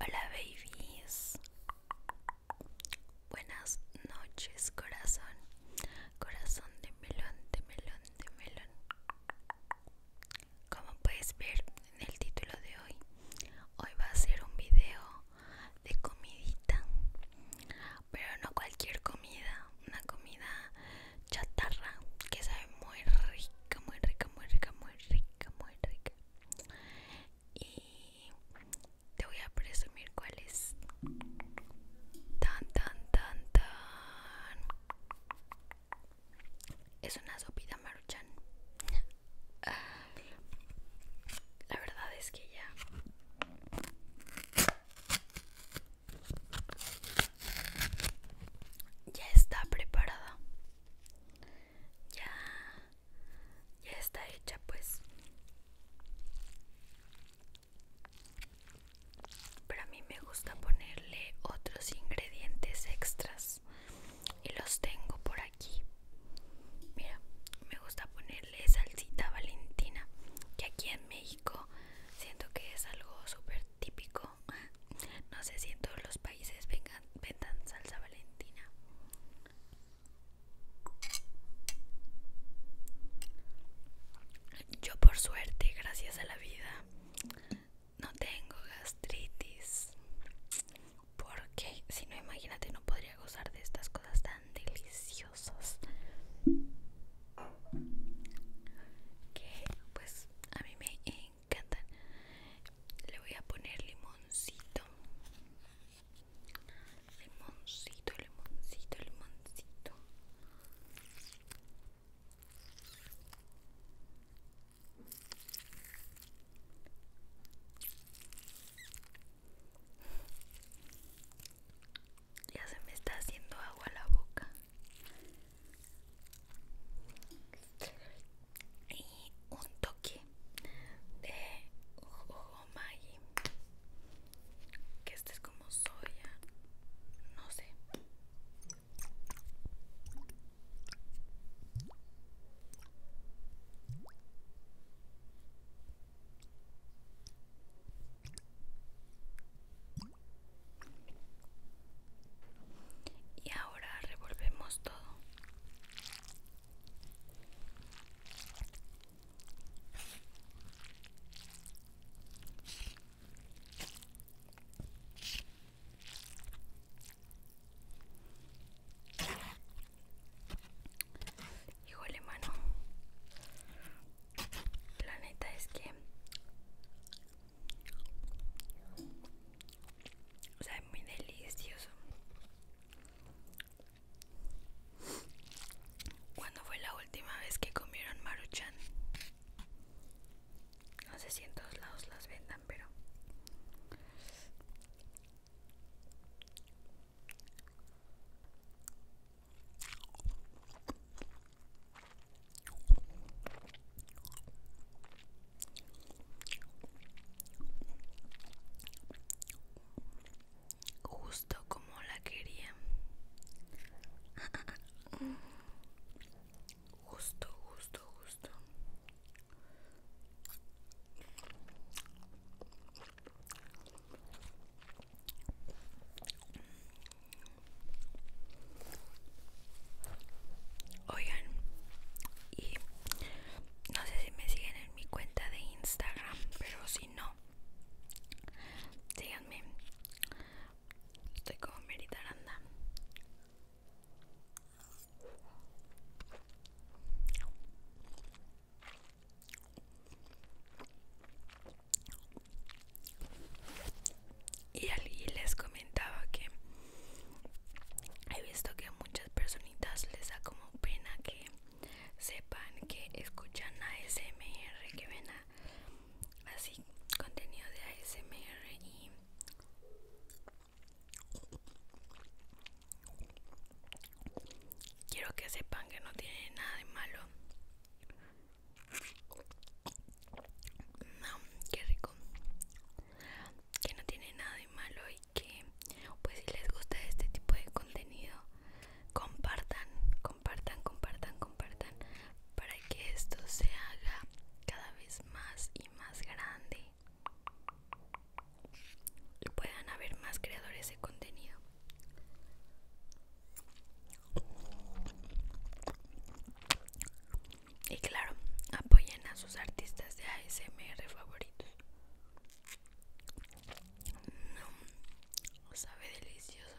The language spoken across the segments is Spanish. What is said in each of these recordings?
Hola babies. Buenas noches, corazón. Corazón de melón, de melón, de melón. Como puedes ver en el título de hoy, hoy va a ser un video de comidita. Pero no cualquier comida, una comida chatarra que sabe muy rica, muy rica, muy rica, muy rica, muy rica y te voy a presumir cuál es tan tan tan tan es una sopita maruchan ah, la verdad es que ya ya está preparada ya, ya está hecha pues pero a mí me gusta ponerle otros ingredientes extras y los tengo por aquí mira me gusta ponerle salsita valentina que aquí en México siento que es algo súper típico no sé si en todos los países vendan salsa valentina. Yo por suerte, gracias a la vida, no tengo gastritis. Porque si no, imagínate, no podría gozar de estas cosas tan deliciosas. Que pues a mí me le voy a poner limoncito limoncito limoncito limoncito ya se me está haciendo agua la boca y un toque de que este es como soya no sé y ahora revolvemos todo. Híjole mano la neta es que o sea, es muy delicioso. ¿Cuándo fue la última vez que comieron maruchan? No sé si en todos lados las vendan, pero Justo como la quería. Justo, justo, justo. Oigan, y no sé si me siguen en mi cuenta de Instagram, pero si no, síganme. Estoy como Merita Aranda. Y, allí les comentaba que he visto que a muchas personitas les da como pena que sepan que escuchan ASMR, que ven así contenido de ASMR y quiero que sepan que no tiene nada de malo no, rico que no tiene nada de malo y que pues si les gusta este tipo de contenido compartan compartan compartan compartan para que esto se haga cada vez más y más grande y puedan haber más creadores de contenido y claro, apoyen a sus artistas de ASMR favoritos. No, sabe delicioso.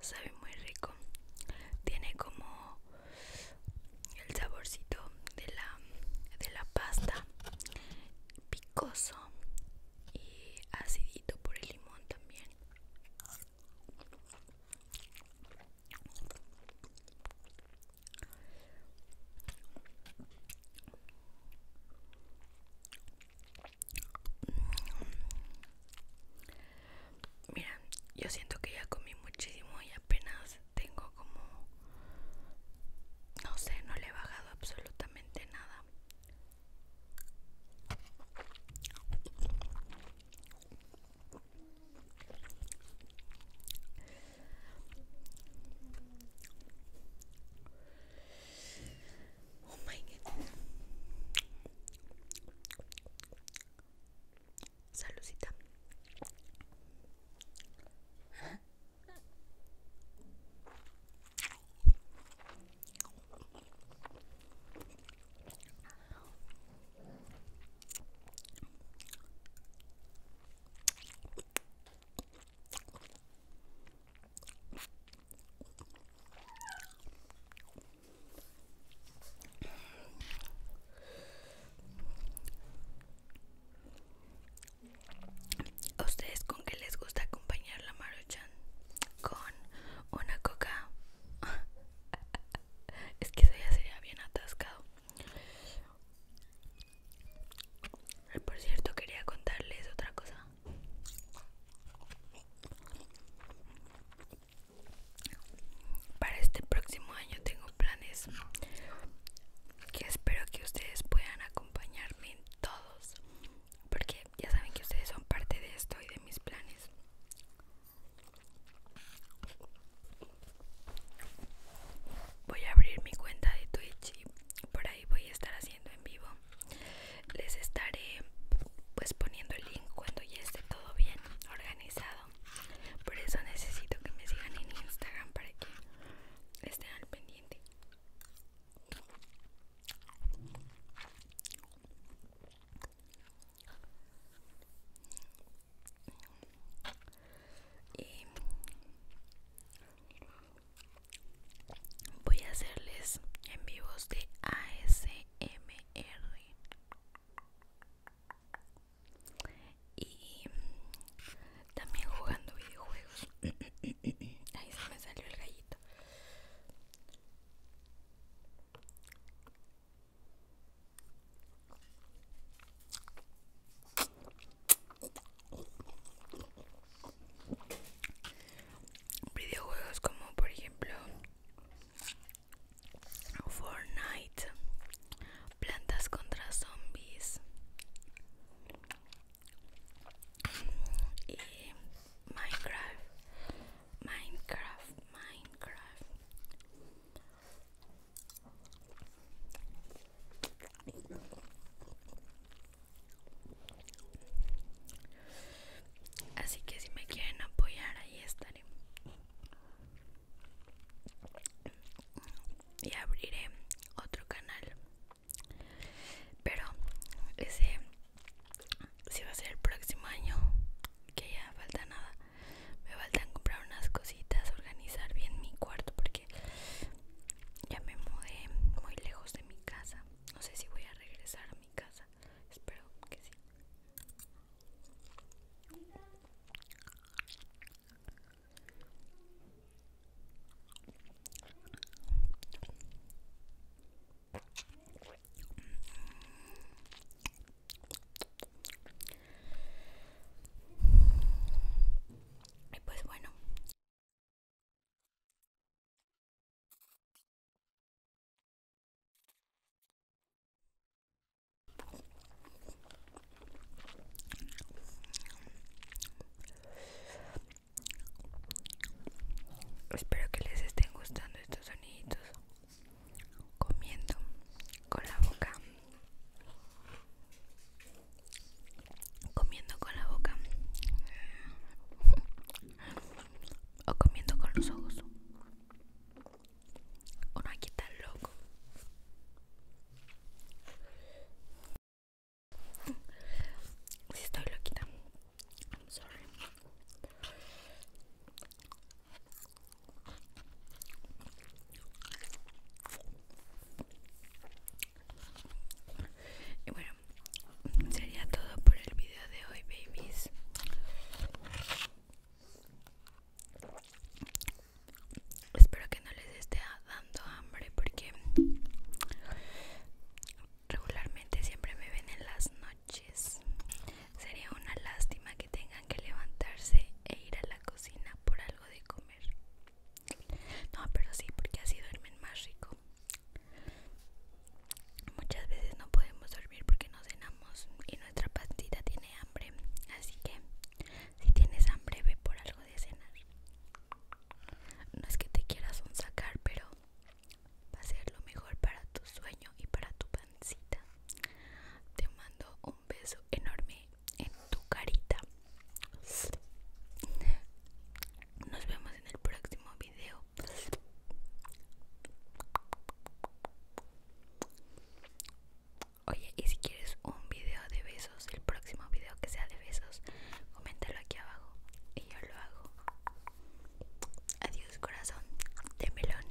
sabe muy rico tiene como el saborcito de la de la pasta picoso y acidito por el limón también Mira, yo siento que ya comí muchísimo y apenas tengo como... No sé, no le he bajado absolutamente nada. Oh my god. Salucita ustedes con qué les gusta acompañar la maruchan? Con una coca. es que eso ya sería bien atascado. Por cierto, quería contarles otra cosa. Para este próximo año tengo planes que espero que ustedes puedan acompañarme en todos, porque ya saben que ustedes son parte de esto y de mis planes. Voy a abrir mi cuenta de Twitch y por ahí voy a estar haciendo en vivo les estaré pues poniendo el link cuando ya esté todo bien organizado por eso necesito que me sigan en instagram para que estén al pendiente y voy a hacerles en vivos de ASMR y también jugando videojuegos ahí se me salió el gallito videojuegos como por ejemplo Fortnite, plantas contra zombies y Minecraft, Minecraft, Minecraft. Así que si me quieren apoyar, ahí estaré. Y abriré otro canal. Pero ese si va a ser el próximo año, que ya falta nada. Me faltan comprar unas cositas, organizar bien mi cuarto porque ya me mudé muy lejos de mi casa. No sé si voy a regresar a mi casa. Espero que sí y pues bueno Espero que les estén gustando estos soniditos comiendo con la boca comiendo con la boca o comiendo con los ojos. Uno aquí está loco. estoy loquita, y bueno, sería todo por el video de hoy, babies. Espero que no les esté dando hambre porque regularmente siempre me ven en las noches. Sería una lástima que tengan que levantarse e ir a la cocina por de comer. No, pero sí, porque así duermen más rico. Muchas veces no podemos dormir porque no cenamos y nuestra pancita tiene hambre. Así que si tienes hambre, ve por algo de cenar. No es que te quieras un sacar, pero va a ser lo mejor para tu sueño y para tu pancita. Te mando un beso enorme en tu carita. Nos vemos en el próximo video. Oye, y si quieres un video de besos, el próximo video que sea de besos, coméntalo aquí abajo y yo lo hago. Adiós corazón de melón.